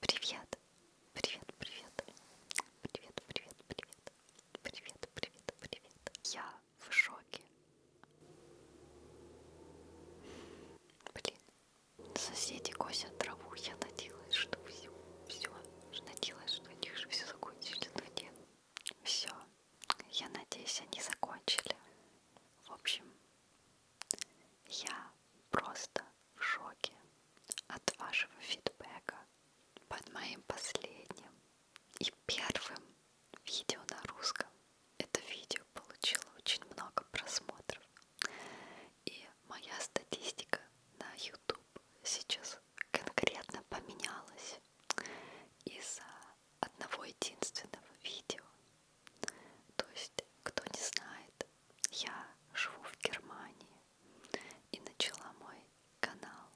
Привет, привет, привет, привет, привет, привет, привет, привет, привет. Я в шоке. Блин, соседи косят траву. Я надеялась, что все, все, надеялась, что у них же все закончили, но нет. Все, я надеюсь, они закончили. В общем, я просто в шоке от вашего фидбэка под моим последним и первым видео на русском. Это видео получило очень много просмотров. И моя статистика на YouTube сейчас конкретно поменялась из-за одного единственного видео. То есть, кто не знает, я живу в Германии и начала мой канал,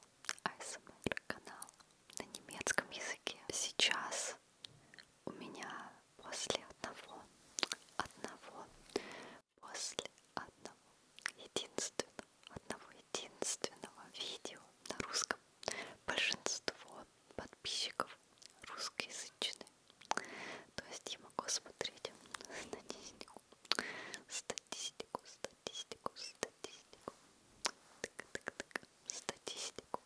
ASMR канал на немецком языке. Сейчас у меня после одного, одного, после одного, единственного, одного единственного видео на русском большинство подписчиков русскоязычные то есть я могу смотреть статистику, статистику, статистику, статистику, так, так, так, статистику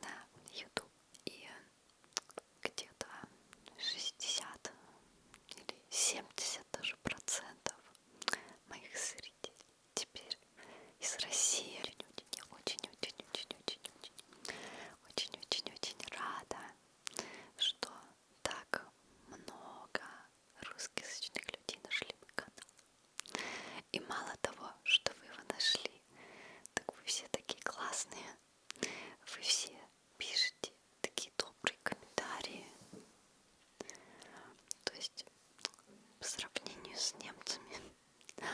на YouTube и где-то 60 или 70 даже процентов моих зрителей теперь из России люди. Я очень-очень-очень-очень-очень очень-очень-очень рада что так много русскоязычных людей нашли мой канал. И мало того, что вы его нашли, так вы все такие классные, вы все пишете такие добрые комментарии. То есть по сравнению с немцами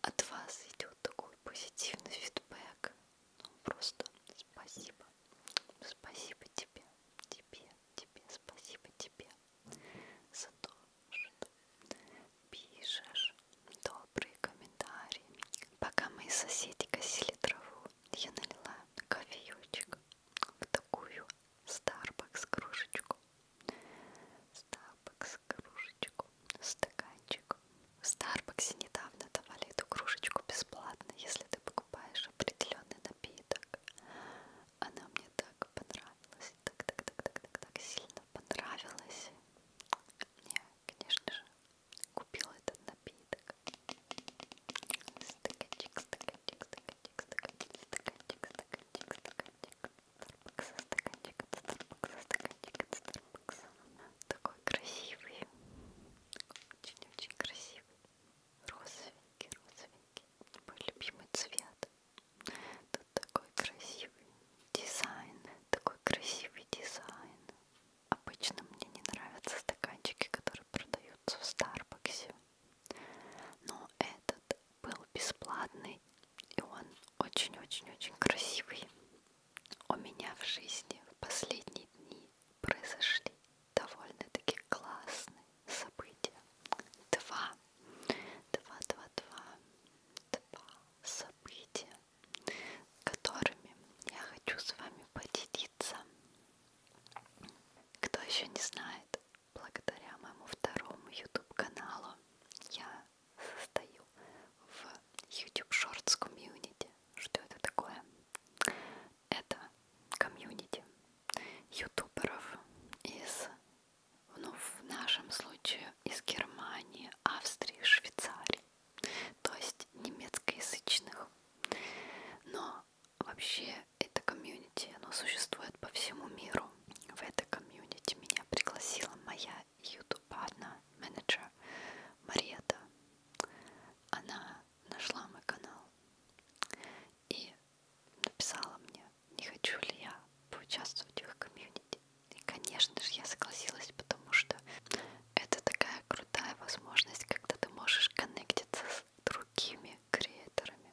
от вас идет такой позитивный фидбэк ну, просто спасибо. Спасибо тебе, тебе, тебе, спасибо тебе за то, что пишешь добрые комментарии. Пока мои соседи косили траву, я налила кофеечек в такую Starbucks кружечку. Starbucks кружечку, стаканчик в Старбаксе недавно давали эту кружечку бесплатно, если ты покупаешь определенный напиток. Она мне так понравилась, так, так, так, так, так, так сильно понравилась. Мне, конечно же, купила этот напиток. Стаканчик, стаканчик, стаканчик, стаканчик, стаканчик, стаканчик, стаканчик. Старбакса, стаканчик от Старбакса, стаканчик от Старбакса такой красивый, очень-очень красивый, розовенький, розовенький, мой любимый цвет. Тут такой красивый дизайн, такой красивый дизайн. Обычно мне не нравятся стаканчики, которые продаются в Старбаксе, но этот был бесплатный и он очень-очень-очень красивый. У меня в жизни в последние дни произошли довольно-таки классные события. Два, два, два, два, два события, которыми я хочу с вами поделиться. Кто еще не знает, благодаря моему второму YouTube каналу я состою в YouTube Shorts Community что это такое. Это комьюнити ютуберов из, ну, в нашем случае, из Германии, Австрии, Швейцарии, то есть немецкоязычных. Но вообще это комьюнити, оно существует по всему миру. В это комьюнити меня пригласила моя ютуб одна менеджер Мариэта она нашла мой канал и написала мне, не хочу ли я поучаствовать в их комьюнити. И, конечно же, я согласилась, потому что это такая крутая возможность, когда ты можешь коннектиться с другими креаторами,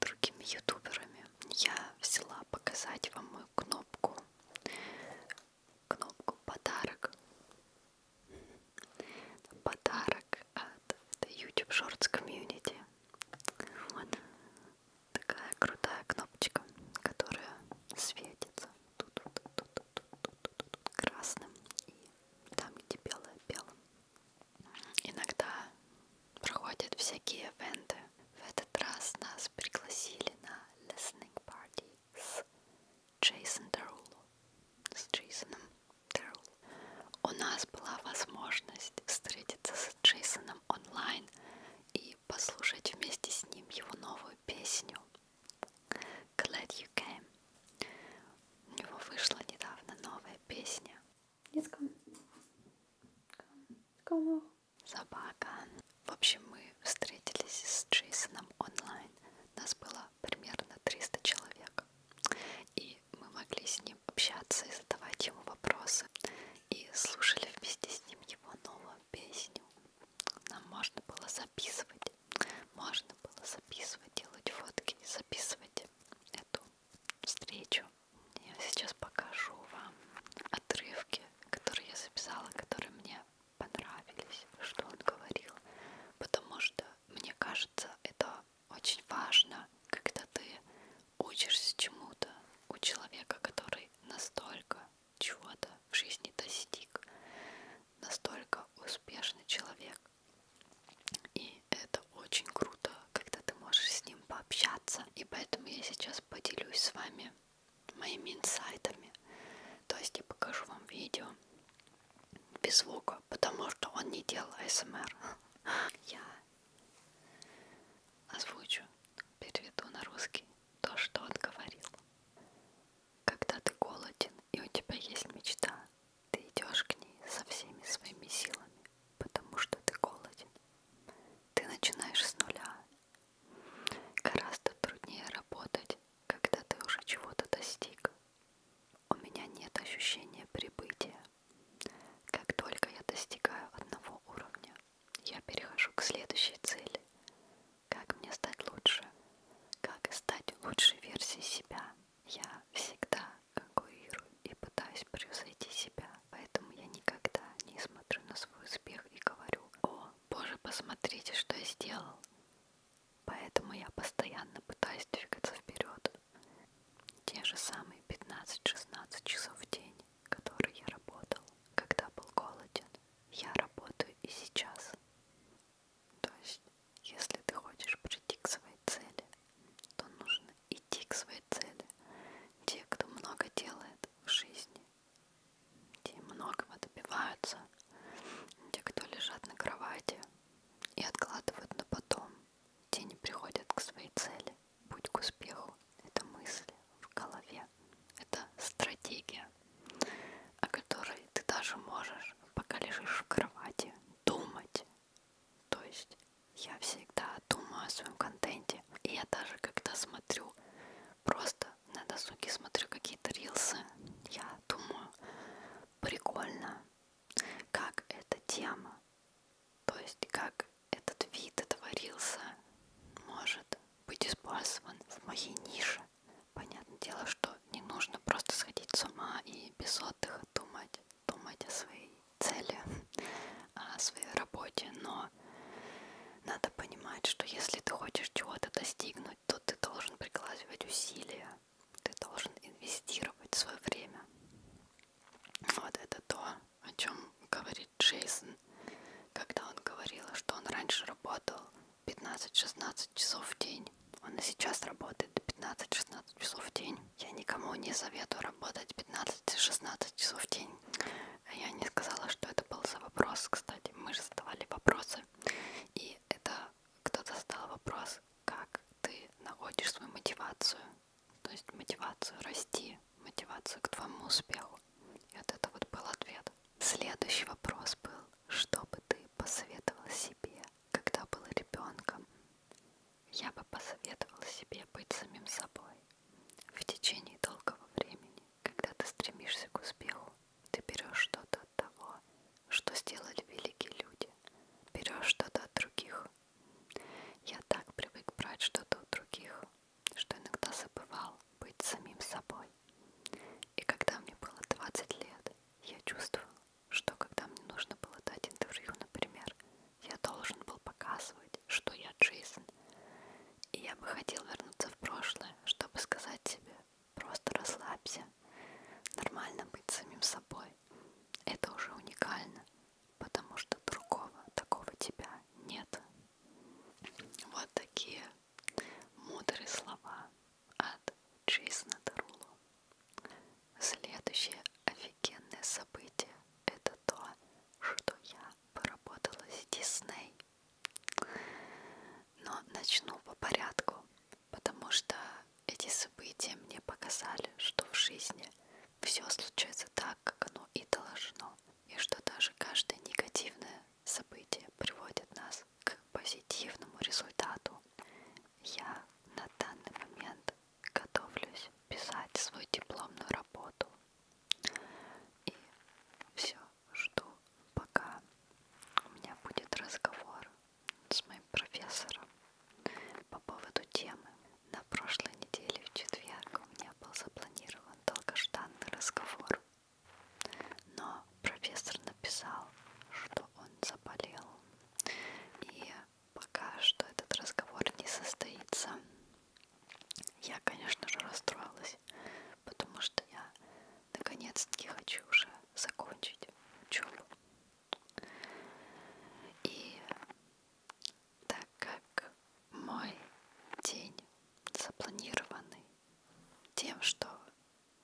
другими ютуберами. Я взяла показать вам мою кнопку кнопку подарок. Подарок от YouTube Shorts Community. Вот такая крутая кнопочка, которая светится тут, тут, тут, тут, тут, тут, тут красным и там где белое белым. Иногда проходят всякие эвенты. В этот раз нас пригласили на listening party с Джейсон Деруло, с Джейсоном Деруло. У нас была возможность встретиться с Джейсоном онлайн и послушать вместе с ним его новую песню Glad You Came. У него вышла недавно новая песня. Come. Come. Come. Собака. В общем, мы встретились с Джейсоном онлайн. Нас было примерно 300 человек. И мы могли с ним общаться и задавать ему вопросы. И слушали вместе с ним его новую песню. Нам можно было записывать. Можно было записывать, делать фотки и записывать эту встречу. Я сейчас покажу вам отрывки, которые я записала, которые мне понравились, что он говорил, потому что, мне кажется, это очень важно, когда ты учишься чему-то у человека, который настолько чего-то в жизни достиг, настолько успешный человек. И это очень круто, когда ты можешь с ним пообщаться. И поэтому я сейчас поделюсь с вами моими инсайтами. То есть я покажу вам видео без звука, потому что он не делал АСМР. Я озвучу, переведу на русский то, что он говорил. Когда ты голоден и у тебя есть мечта, ты идешь к ней со всеми своими силами, потому что ты голоден. Ты начинаешь с нуля Гораздо труднее работать, когда ты уже чего-то достиг. У меня нет ощущения прибытия. Как только я достигаю одного уровня, я перехожу к следующей цели. Как мне стать лучше? Как стать лучшей версией себя? Я всегда конкурирую и пытаюсь превзойти себя, поэтому я никогда не смотрю на свой успех и говорю «О, боже, посмотрите, что я сделал!» Поэтому я постоянно пытаюсь двигаться вперед. Те же самые 15-16 часов в день, которые я работал, когда был голоден, я работаю и сейчас. То есть, если ты хочешь прийти к своей цели, то нужно идти к своей цели. Те, кто много делает в жизни, те многого добиваются, те, кто лежат на кровати и откладывают на потом, те не приходят к своей цели, путь к успеху. Это мысли в голове, это стратегия, о которой ты даже можешь, пока лежишь в кровати, думать. То есть я всегда думаю о своем контенте, и я даже когда смотрю Просто на досуге смотрю какие-то рилсы. Я думаю, прикольно, как эта тема, то есть как этот вид этого рилса может быть использован в моей нише. Понятное дело, что не нужно просто сходить с ума и без отдыха думать, думать о своей цели, о своей работе, но надо понимать, что если ты хочешь чего-то достигнуть, но тут ты должен прикладывать усилия, ты должен инвестировать свое время. Вот это то, о чем говорит Джейсон, когда он говорил, что он раньше работал 15-16 часов в день. Он и сейчас работает 15-16 часов в день. Я никому не советую работать 15-16 часов в день. Я не сказала, что это был за вопрос, кстати. Мы же задавали вопросы. И это кто-то задал вопрос, как ты находишь свою мотивацию, то есть мотивацию расти, мотивацию к твоему успеху. И вот это вот был ответ. Следующий вопрос был, что бы ты посоветовал себе, когда был ребенком? Я бы посоветовал себе быть самим собой в течение долгого времени, когда ты стремишься к успеху, ты берешь что-то от того, что сделали великие люди, берешь что-то от других. Я так привык брать что-то у других, что иногда забывал быть самим собой. И когда мне было 20 лет, я чувствовал, что когда мне нужно было дать интервью, например, я должен был показывать, что я Джейсон. И я бы хотел вернуться в прошлое, чтобы сказать себе, Просто расслабься. Нормально быть самим собой. Это уже уникально, потому что другого такого тебя нет. Вот такие мудрые слова от Джейсона Тарулу. Следующее офигенное событие это то, что я поработала с Дисней но начну по порядку, потому что эти события мне показали, что в жизни все случается так, как оно и должно, и что даже каждое негативное событие приводит нас к позитивному результату. Я на данный момент готовлюсь писать свою дипломную работу. И все жду, пока у меня будет разговор с моим профессором по поводу темы. На прошлой неделе в четверг у меня был запланирован долгожданный разговор, но профессор написал, что он заболел, и пока что этот разговор не состоится. Я, конечно же, расстроилась, потому что я наконец-таки хочу уже закончить учебу. И так как мой день запланированный тем, что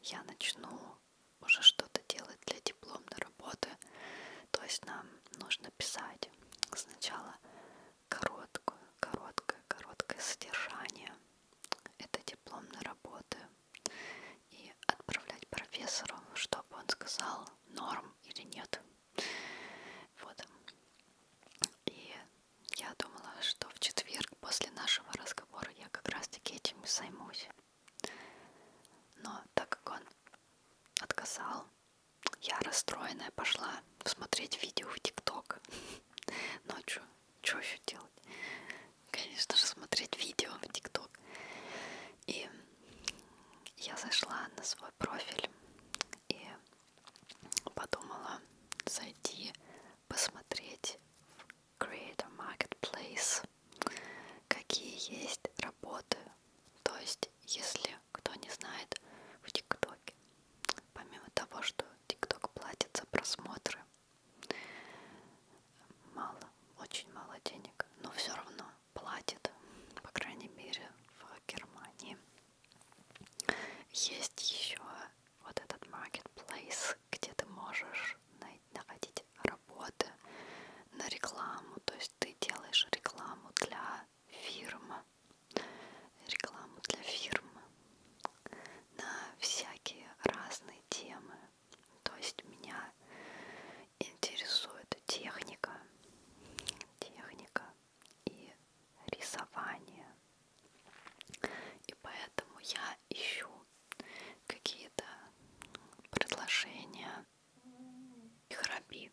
я начну уже что-то делать для дипломной работы, то есть нам нужно писать сначала короткое, короткое, короткое содержание это диплом на работы и отправлять профессору, чтобы он сказал, норм или нет. Вот. И я думала, что в четверг после нашего разговора я как раз-таки этим и займусь. Но так как он отказал, я расстроенная пошла смотреть видео в ТикТок ночью что еще делать? Конечно же, смотреть видео в ТикТок. И я зашла на свой профиль и подумала зайти посмотреть в Creator Marketplace, какие есть работы. То есть, если кто не знает, в ТикТоке, помимо того, что ТикТок платит за просмотры, Мало, очень мало денег, но все равно платит, по крайней мере, в Германии. Есть еще вот этот marketplace, где ты можешь находить работы на рекламу, то есть ты делаешь рекламу для фирмы, рекламу для фирмы на всякие разные темы. То есть меня интересует техника, техника и рисование. И поэтому я ищу какие-то предложения и храпи.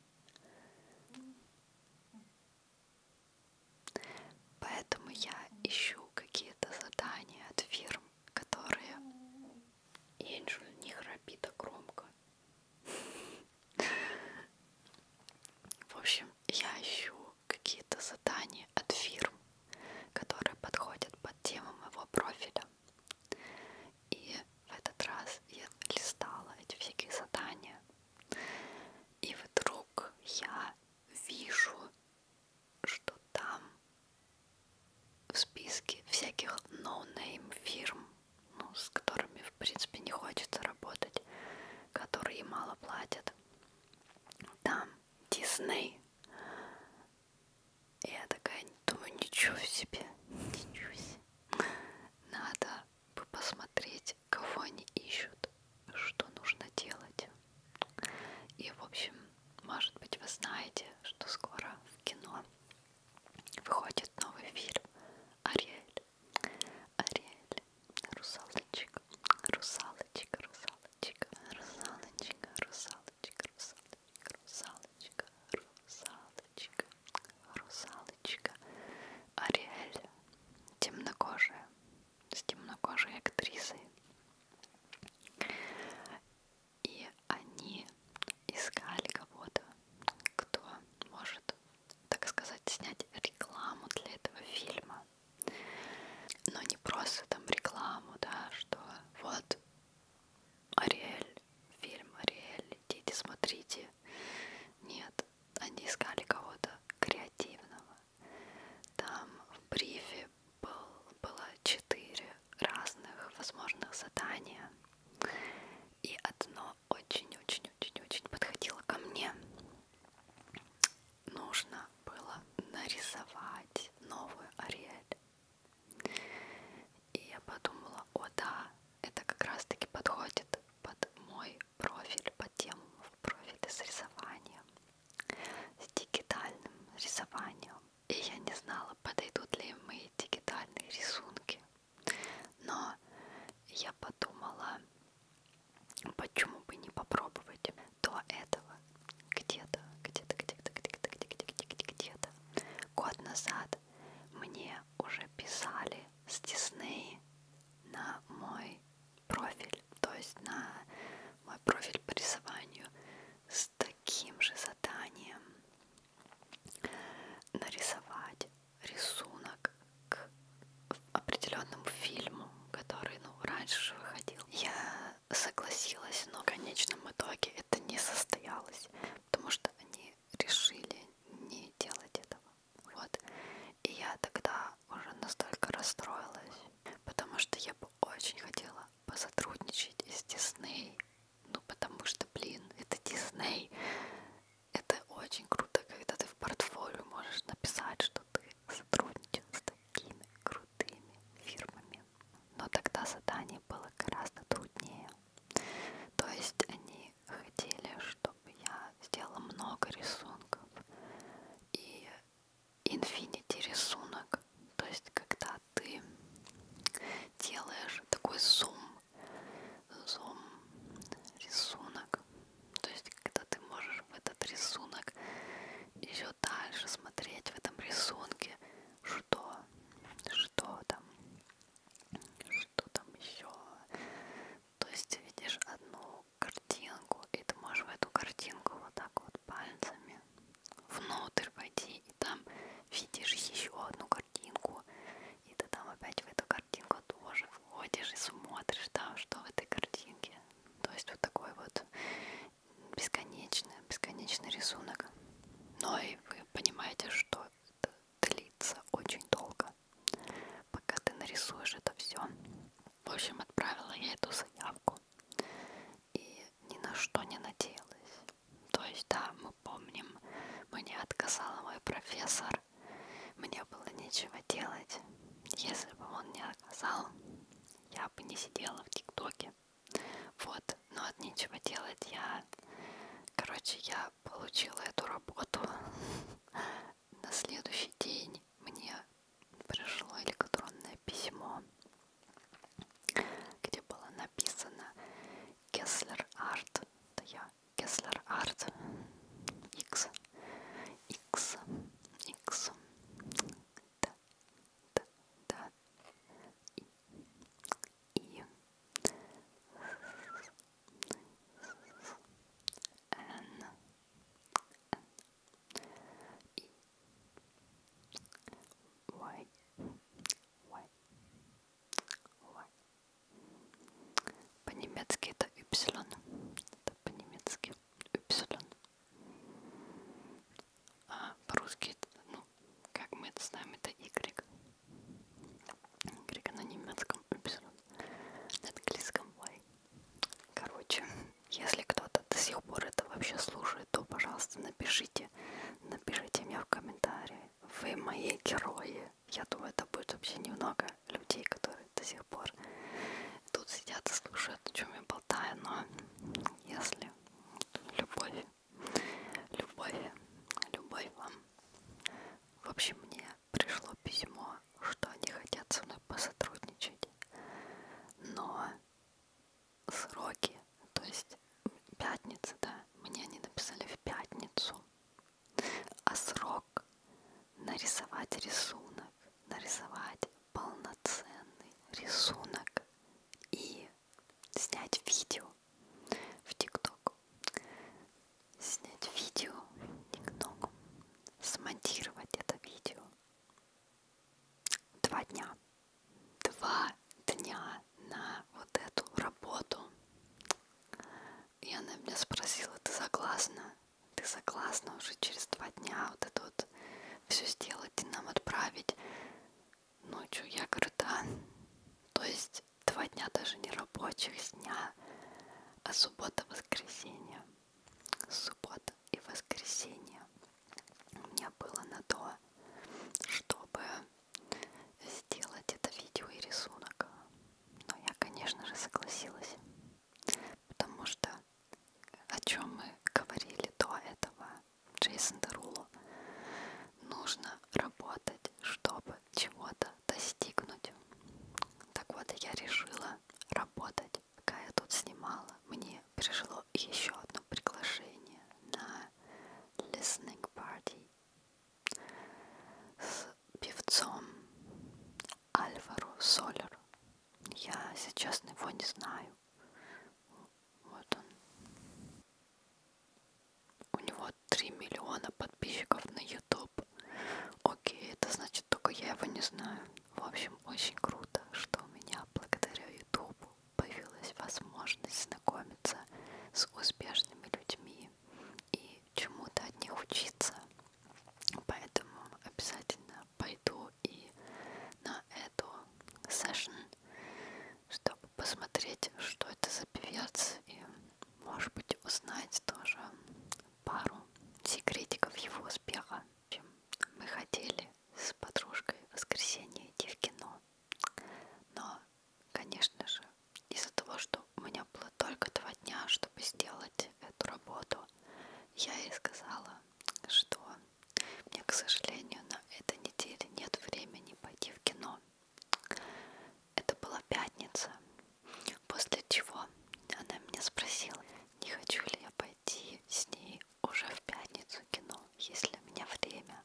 Поэтому я ищу какие-то задания от фирм, которые... Энджель не храпит так громко. В общем, я ищу какие-то задания от фирм, которые подходят под тему моего профиля. И в этот раз я листала эти всякие задания. И вдруг я вижу что там в списке всяких no-name фирм, ну, с которыми, в принципе, не хочется работать, которые мало платят. Там Дисней. Я такая думаю, ничего себе, ничего себе. Надо бы посмотреть, кого они ищут что нужно делать. И, в общем, может быть, вы знаете, что скоро в кино выходит новый фильм «Ариэль». «Ариэль», «Русалочка», «Русалочка», «Русалочка», «Русалочка», «Русалочка», «Русалочка», «Русалочка», «Русалочка», «Ариэль», «Темнокожая», с темнокожей актрисой. И они искали кого-то, кто может, так сказать, снять рекламу для этого фильма. Но не просто там рекламу, да, что вот Ариэль, фильм Ариэль, идите, смотрите. Нет, они искали кого-то креативного, там в брифе был, было четыре разных возможных задания, и одно очень-очень-очень-очень подходило ко мне. Нужно было нарисовать новую Ариэль. И я подумала, о да, это как раз таки подходит под мой профиль, под тему в профиле с рисованием с дигитальным рисованием. И я не знала, подойдут ли мои дигитальные рисунки. Но я подумала, почему бы не попробовать до этого где-то, где-то, где-то, где-то, где-то, где-то, где-то. Год назад мне уже писали с Дисней на мой профиль профиль, то есть на мой профиль по рисованию с таким же заданием нарисовать рисунок к определенному фильму, который ну, раньше же выходил. Я согласилась, но в конечном итоге это не состоялось, потому что они решили не делать этого. Вот. И я тогда уже настолько расстроилась, потому что я бы очень хотела посотрудничать с Дисней, ну потому что, блин, это Дисней, это очень круто, когда ты в портфолио можешь написать, что ты сотрудничал с такими крутыми фирмами. Но тогда задание было гораздо труднее. То есть они хотели, чтобы я сделала много рисунков. И инфинити рисунок, то есть когда ты делаешь такой зум, зум рисунок, то есть когда ты можешь в этот рисунок еще дальше смотреть в этом рисунке, что, что там, что там еще, то есть видишь одну картинку, и ты можешь в эту картинку вот так вот пальцами внутрь войти, и там видишь еще одну картинку, и ты там опять в эту картинку тоже входишь и смотришь там, что в этой картинке. То есть вот такой вот бесконечный, бесконечный рисунок. Но и вы понимаете, что это длится очень долго, пока ты нарисуешь это все. В общем, отправила я эту заявку школу и ни на что не надеялась. То есть, да, мы помним, мне отказала мой профессор, мне было нечего делать. Если бы он не отказал, я бы не сидела в ТикТоке. Вот, но от нечего делать я... Короче, я получила эту работу. На следующий день мне пришло электронное письмо, где было написано Кеслер Арт, да я Кеслер Арт X X X да да да и, и N N и why, why, why. По-немецки это y. Это по-немецки y. А по-русски, ну, как мы это знаем, это y. Y на немецком y. На английском y. Короче, если кто-то до сих пор это вообще слушает, то, пожалуйста, напишите, напишите мне в комментарии. Вы мои герои. Я думаю, это будет вообще немного людей, которые до сих пор тут сидят и слушают, о чем я болтаю, но если любовь, любовь, любовь вам. В общем, мне пришло письмо, что они хотят со мной посотрудничать, но сроки, то есть пятница, да, мне они написали в пятницу, а срок нарисовать рисунок, нарисовать полноценный рисунок и снять видео в ТикТок, снять видео в ТикТок, смонтировать это видео два дня. Два дня на вот эту работу. И она меня спросила, ты согласна? Ты согласна уже через два дня вот это вот все сделать и нам отправить? Ночью я говорю, да. То есть два дня даже не рабочих дня, а суббота-воскресенье суббота и воскресенье у меня было на то, чтобы сделать это видео и рисунок. Но я, конечно же, согласилась, потому что о чем мы говорили до этого, Джейсон Дерулу, нужно работать, чтобы чего-то достигнуть. Так вот, я решила работать. Пока я тут снимала, мне пришло еще одно приглашение на listening party с певцом Альвару Солеру. Я сейчас его не знаю. Вот он. У него 3 миллиона подписчиков на YouTube. Окей, это значит только я его не знаю. В общем, очень круто, что у меня благодаря Ютубу появилась возможность знакомиться с успешными людьми и чему-то от них учиться. Поэтому обязательно пойду и на эту сессию, чтобы посмотреть, что это за певец и, может быть, узнать тоже пару секретиков его успеха, чем мы хотели с подружкой в воскресенье идти в кино. Но, конечно же, из-за того, что у меня было только два дня, чтобы сделать эту работу, я ей сказала, что мне, к сожалению, на этой неделе нет времени пойти в кино. Это была пятница, после чего она меня спросила, не хочу ли я пойти с ней уже в пятницу кино, если у меня время,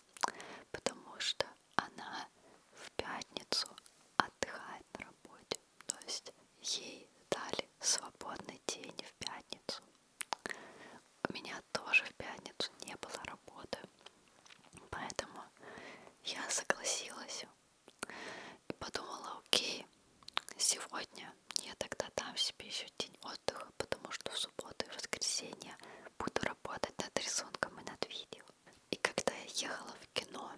потому что она в пятницу отдыхает на работе, то есть ей дали свободный день в пятницу. У меня тоже в пятницу не было работы, поэтому я согласилась и подумала, окей, Сегодня я тогда дам себе еще день отдыха, потому что в субботу и воскресенье буду работать над рисунком и над видео. И когда я ехала в кино,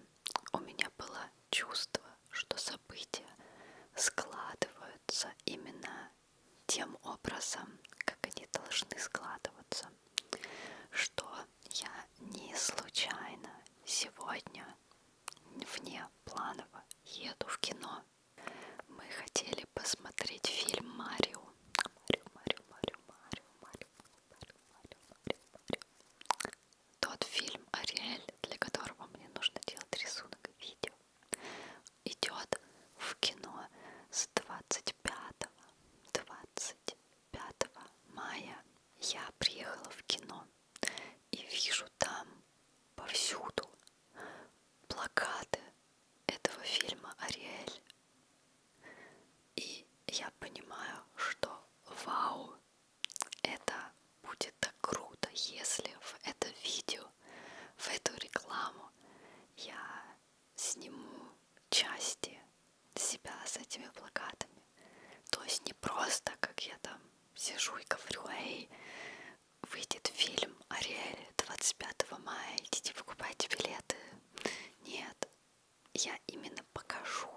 у меня было чувство, что события складываются именно тем образом, как они должны складываться, что я не случайно сегодня вне планово еду в кино. Мы хотели посмотреть фильм Марио. Марио, Марио, Марио, Марио, Марио, Марио, Марио, Марио, Марио. Тот фильм Ариэль, для которого мне нужно делать рисунок видео, идет в кино с 25 25 мая я приехала в кино и вижу там повсюду плакаты этого фильма Ариэль. И я понимаю, что вау, это будет так круто, если в это видео, в эту рекламу я сниму части себя с этими плакатами. То есть не просто, как я там сижу и говорю, эй, выйдет фильм «Ариэль» 25 мая, идите покупайте билеты. Нет, я именно покажу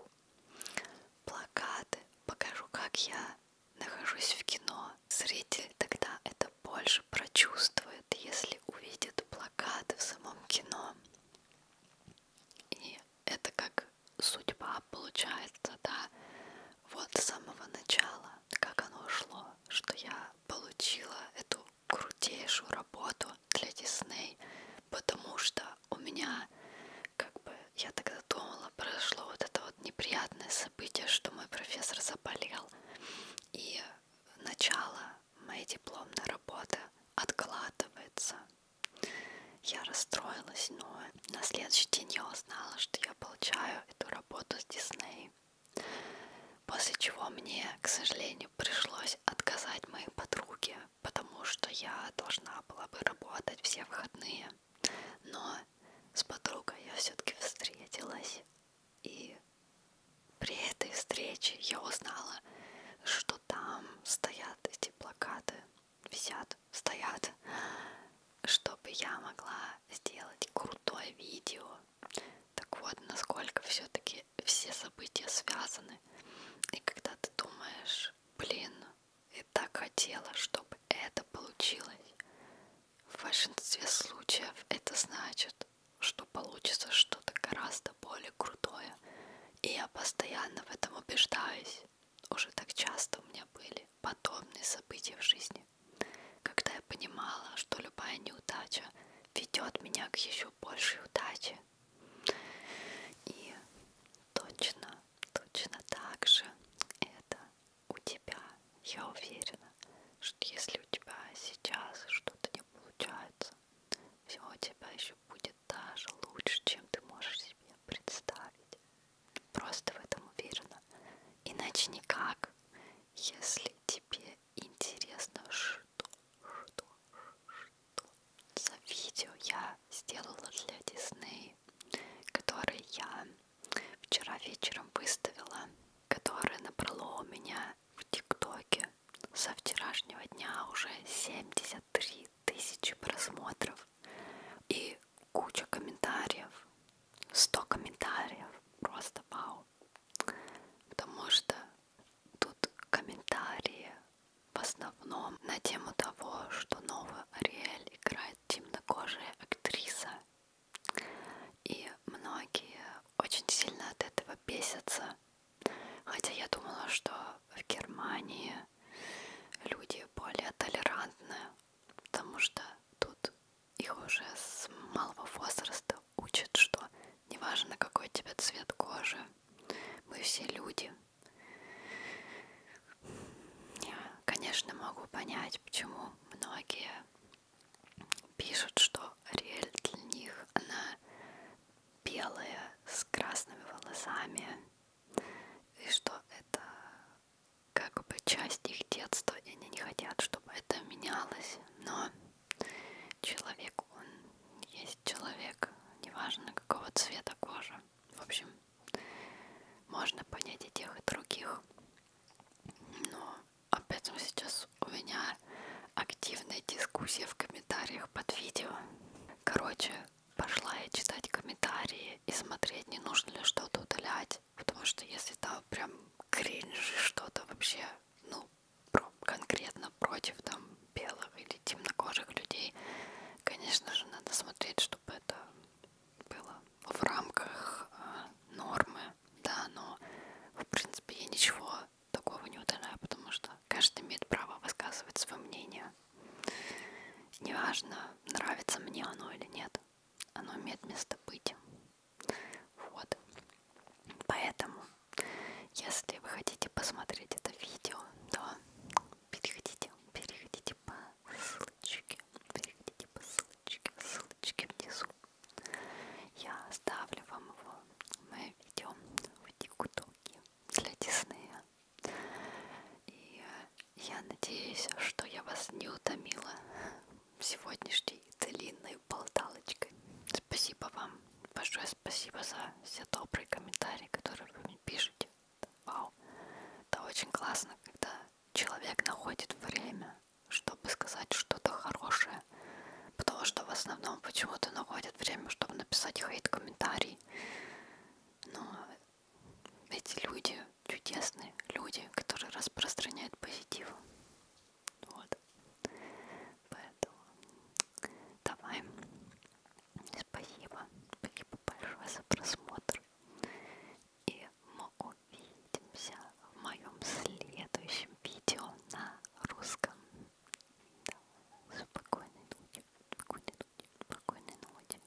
плакаты, покажу, как я нахожусь в кино. Зритель тогда это больше прочувствует, если увидит плакаты в самом кино. И это как судьба получается, да, вот с самого начала, как оно шло, что я получила эту крутейшую работу для Дисней, потому что у меня, как бы, я тогда думала, прошло вот это вот неприятное событие, что мой профессор заболел, и начало моей дипломной работы откладывается. Я расстроилась, но на следующий день я узнала, что я получаю эту работу с Дисней. После чего мне, к сожалению, пришлось отказать моей подруге, потому что я должна была бы работать все выходные. Но с подругой я все-таки встретилась. И при этой встрече я узнала, что там стоят эти плакаты, висят стоят, чтобы я могла сделать крутое видео. Так вот, насколько все-таки все события связаны. И когда ты думаешь, блин, я так хотела, чтобы это получилось. В большинстве случаев это значит, что получится что-то гораздо более крутое. И я постоянно в этом убеждаюсь. Уже так часто у меня были подобные события в жизни когда я понимала, что любая неудача ведет меня к еще большей удаче. И точно, точно так же это у тебя. Я уверена, что если у тебя сейчас что-то не получается, все у тебя еще будет даже лучше, чем ты можешь себе представить. Просто в этом уверена. Иначе никак. Если тебе интересно, что, что, что за видео я сделала для Дисней, которое я вчера вечером выставила, которое набрало у меня в ТикТоке со вчерашнего дня уже 73 тысячи просмотров. И куча комментариев, 100 комментариев, просто вау, потому что тут комментарии в основном на тему того, что новую Ариэль играет темнокожая актриса, и многие очень сильно от этого бесятся, хотя я думала, что в Германии люди более толерантны, потому что тут их уже с малого возраста учат, что неважно какой у тебя цвет кожи, мы все люди. Я, конечно, могу понять, почему многие пишут, что Ариэль для них она белая с красными волосами и что это как бы часть их детства, и они не хотят, чтобы это менялось. Но человек, он есть человек, неважно какого цвета кожа. В общем, можно понять и тех, и других. Но об этом сейчас у меня активная дискуссия в комментариях под видео. Короче, пошла я читать комментарии и смотреть, не нужно ли что-то удалять читать, потому что если там прям кринжи что-то вообще, ну, про, конкретно против там белых или темнокожих людей, конечно же, надо смотреть, чтобы это было в рамках э, нормы, да, но в принципе я ничего такого не удаляю, потому что каждый имеет право высказывать свое мнение. Неважно, нравится мне оно или нет оно имеет место быть. Вот. Поэтому, если вы хотите посмотреть это видео, то переходите, переходите по ссылочке, переходите по ссылочке, ссылочке внизу. Я оставлю вам его, мое видео в тиктоке для Диснея. И э, я надеюсь, что я вас не утомила сегодняшней длинной болталочкой. Спасибо вам. Большое спасибо за все добрые комментарии, которые вы мне пишете. Вау. Это очень классно, когда человек находит время, чтобы сказать что-то хорошее. Потому что в основном почему-то находят время, чтобы написать хейт-комментарий. Но эти люди чудесные люди, которые распространяют позитив. Вот. Поэтому давай. Спасибо. Спасибо большое за просмотр. И мы увидимся в моем следующем видео на русском. Да. Спокойной ночи. Спокойной ночи. Спокойной ночи.